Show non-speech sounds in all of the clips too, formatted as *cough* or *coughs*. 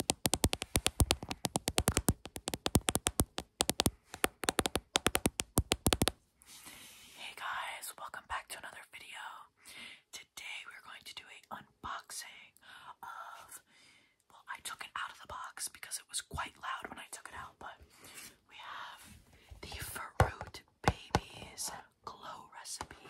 Hey guys, welcome back to another video. Today we're going to do an unboxing of well, I took it out of the box because it was quite loud when I took it out, but we have the Fruit Babies Glow Recipe.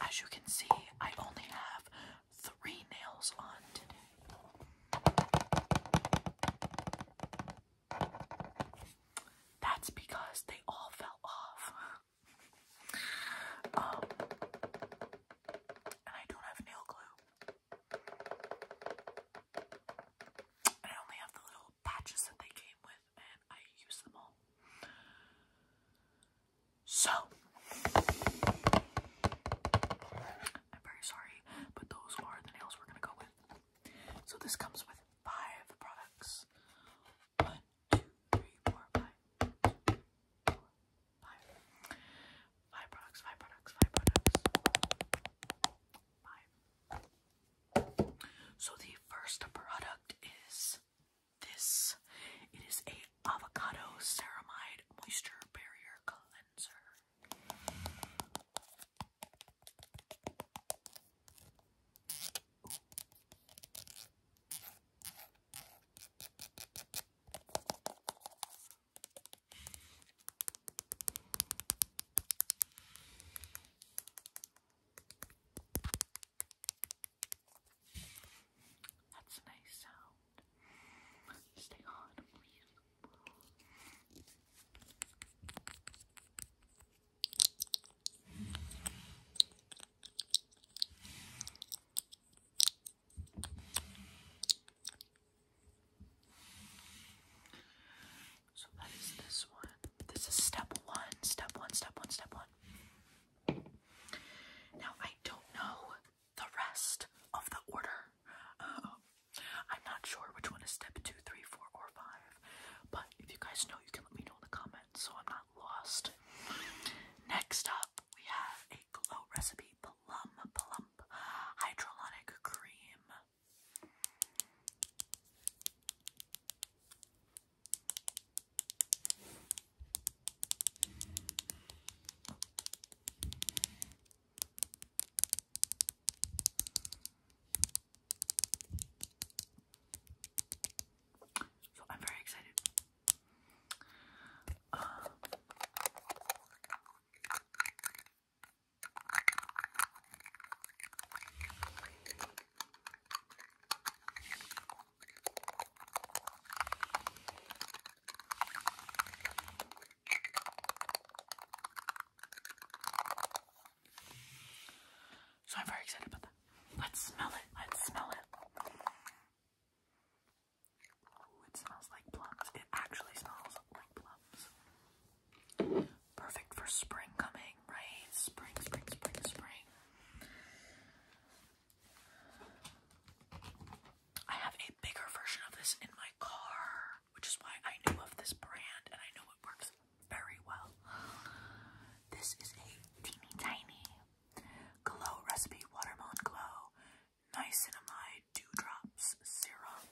As you can see, I only have three nails on today. That's because they all fell off. Um, and I don't have nail glue. I only have the little patches that they came with, and I use them all. So, I'm very sorry, but those are the nails we're gonna go with. So, this comes with five products two, three, four, five. Five products, five products, five products. Five. So the first product is this. It is a avocado ceramide moisture barrier cleanser. That's a nice sound. Stay on, please. So that is this one. This is step one, step one, step one, step one. Now, I don't know the rest of the order. *laughs* I'm not sure which one is step two, three, four, or five. But if you guys know, you can let me know in the comments so I'm not lost. Next up, we have a glow recipe plum plump hydrolonic cream. I'm very excited. So I'm very excited about that. Let's smell it. Let's smell it. it smells like plums. It actually smells like plums. Perfect for spring coming, right? Spring, spring, spring, spring. I have a bigger version of this in my car, which is why I know of this brand and I know it works very well. This is a teeny tiny glow recipe watermelon glow niacinamide dewdrops serum.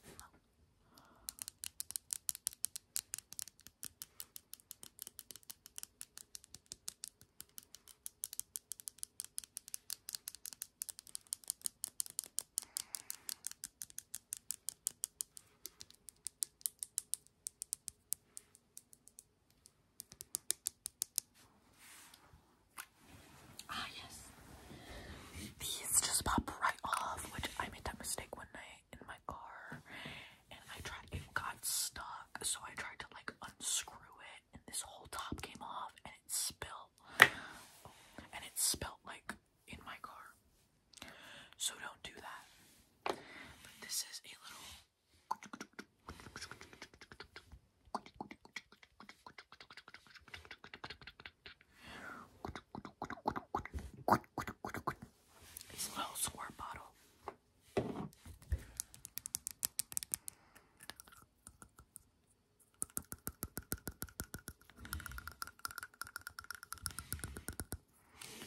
Ah, yes. These just pop right off, which I made that mistake one night in my car, and I tried, it got stuck, so I tried to like unscrew it, and this whole top came off, and it spilled. And it spilled like in my car. So don't do that. But this is a little it's little squirt bottle.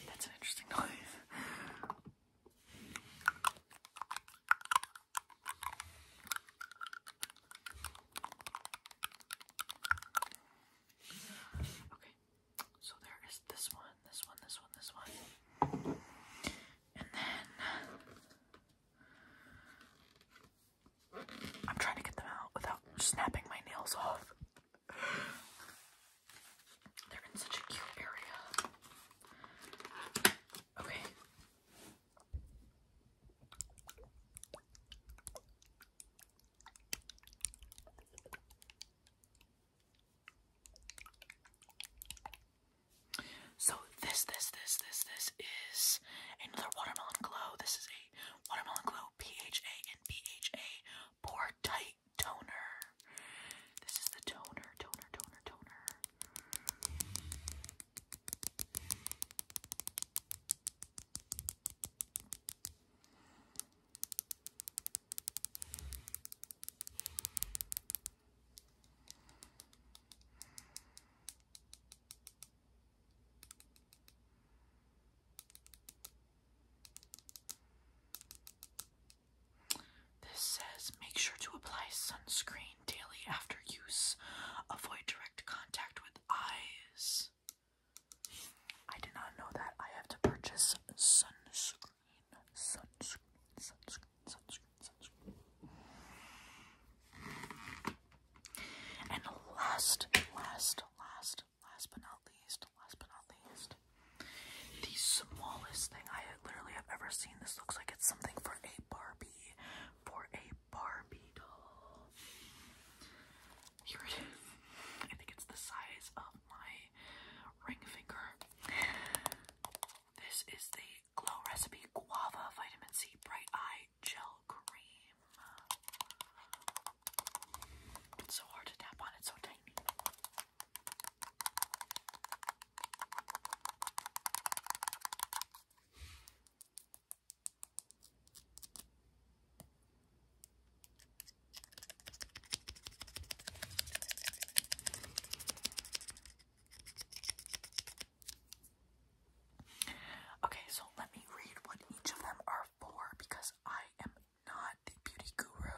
That's an interesting noise. Okay, so there is this one, this one, this one, this one. And then I'm trying to get them out without snapping my nails off. They're in such a cute area. Okay. So this, this, this, this, this is another watermelon glow. This is a watermelon glow PHA and P H A. Pore Tight Toner. This is the toner, toner, toner, toner. This says make sure to apply sunscreen daily after use. Avoid direct contact with eyes. I did not know that. I have to purchase sunscreen. Sunscreen, sunscreen, sunscreen, sunscreen. And last, last, last, last but not least, last but not least, the smallest thing I literally have ever seen. This looks like it's something for a Barbie, for a Barbie doll. Here it is. I think it's the size of my ring finger. This is the Glow Recipe Guava Vitamin C Bright Eye Gel Cream. It's so hard to tap on, it. so tiny. Okay, so let me read what each of them are for because I am not the beauty guru.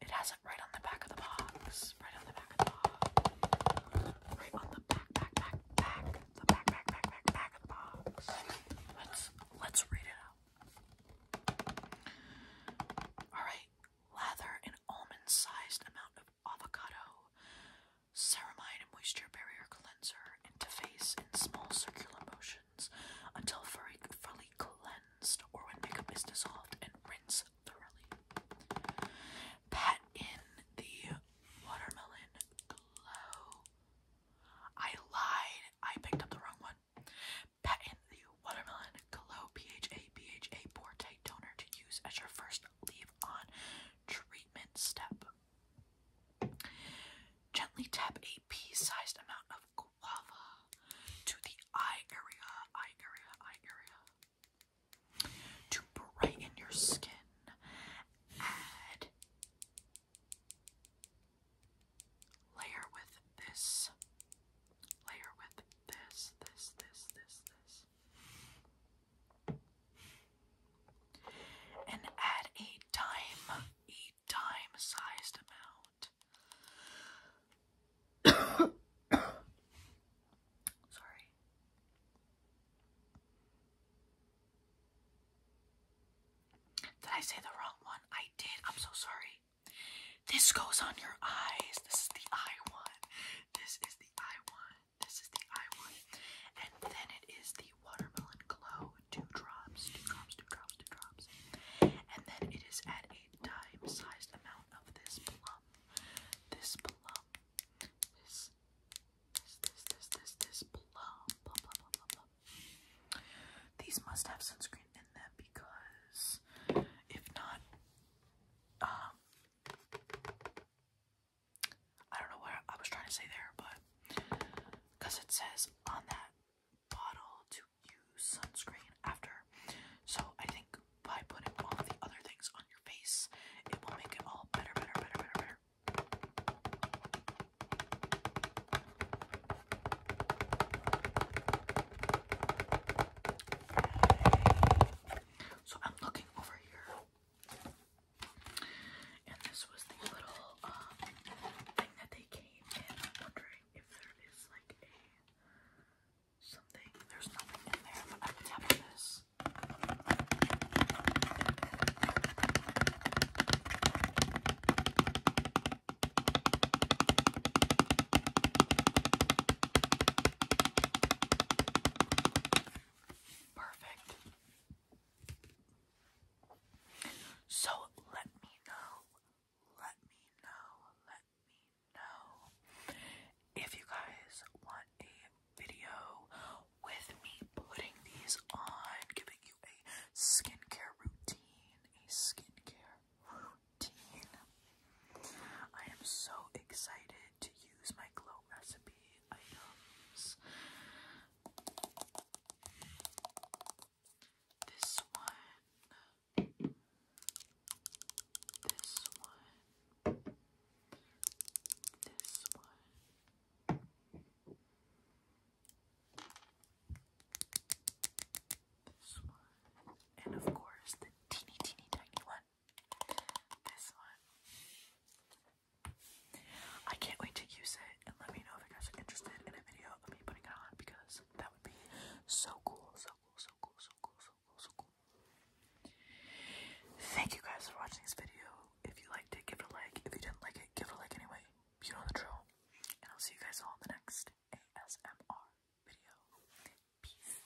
It has it right on the back of the box. Right on the back of the box. Right on the back, back, back, back. The back, back, back, back, back of the box. Let's let's read it out. Alright, lather an almond-sized amount of avocado, ceramide moisture barrier cleanser into face in small circular motions until fully, fully cleansed or when makeup is dissolved and rinsed thoroughly. Pat in the watermelon glow. I lied. I picked up the wrong one. Pat in the watermelon glow PHA PHA Forte toner to use as your first leave on treatment step. Gently tap a pea-sized amount of guava to the eye area, eye area, eye area. To brighten your skin, add layer with this, layer with this, this, this, this, this and add a dime, a dime sized amount. *coughs* Sorry. Did I say the wrong one? I did. I'm so sorry. This goes on your eyes. This is the eye one. This is the eye one. This is the eye one. And then it is the Watermelon Glow. Two drops, two drops, two drops, two drops. And then it is at a dime-sized amount of this plum. This plum. This, this, this, this, this, this plum. Plum, plum, plum, plum, plum. These must have sunscreen in them because if not, um, I don't know what I was trying to say there, but because it says on that bottle to use sunscreen after. So I think by putting all the other things on your face, it will make it all better, better, better, better, better. So I'm looking over here. And this was the little um, thing that they came in. I'm wondering if there is like a something. There's nothing in there, I could have this. Perfect. So let me know, let me know, let me know if you guys want a video with me putting these on, giving you a skincare routine, a skincare routine. I am so excited to use my glow recipe. This one, this one, this one. This one. And of course, the teeny, teeny, tiny one. This one. I can't wait to use it and let me know if you guys are interested in a video of me putting it on because that would be so cool, so cool, so cool, so cool, so cool, so cool. Thank you guys for watching this video. If you liked it, give it a like. If you didn't like it, give it a like anyway. You know the drill. And I'll see you guys all in the next ASMR video. Peace.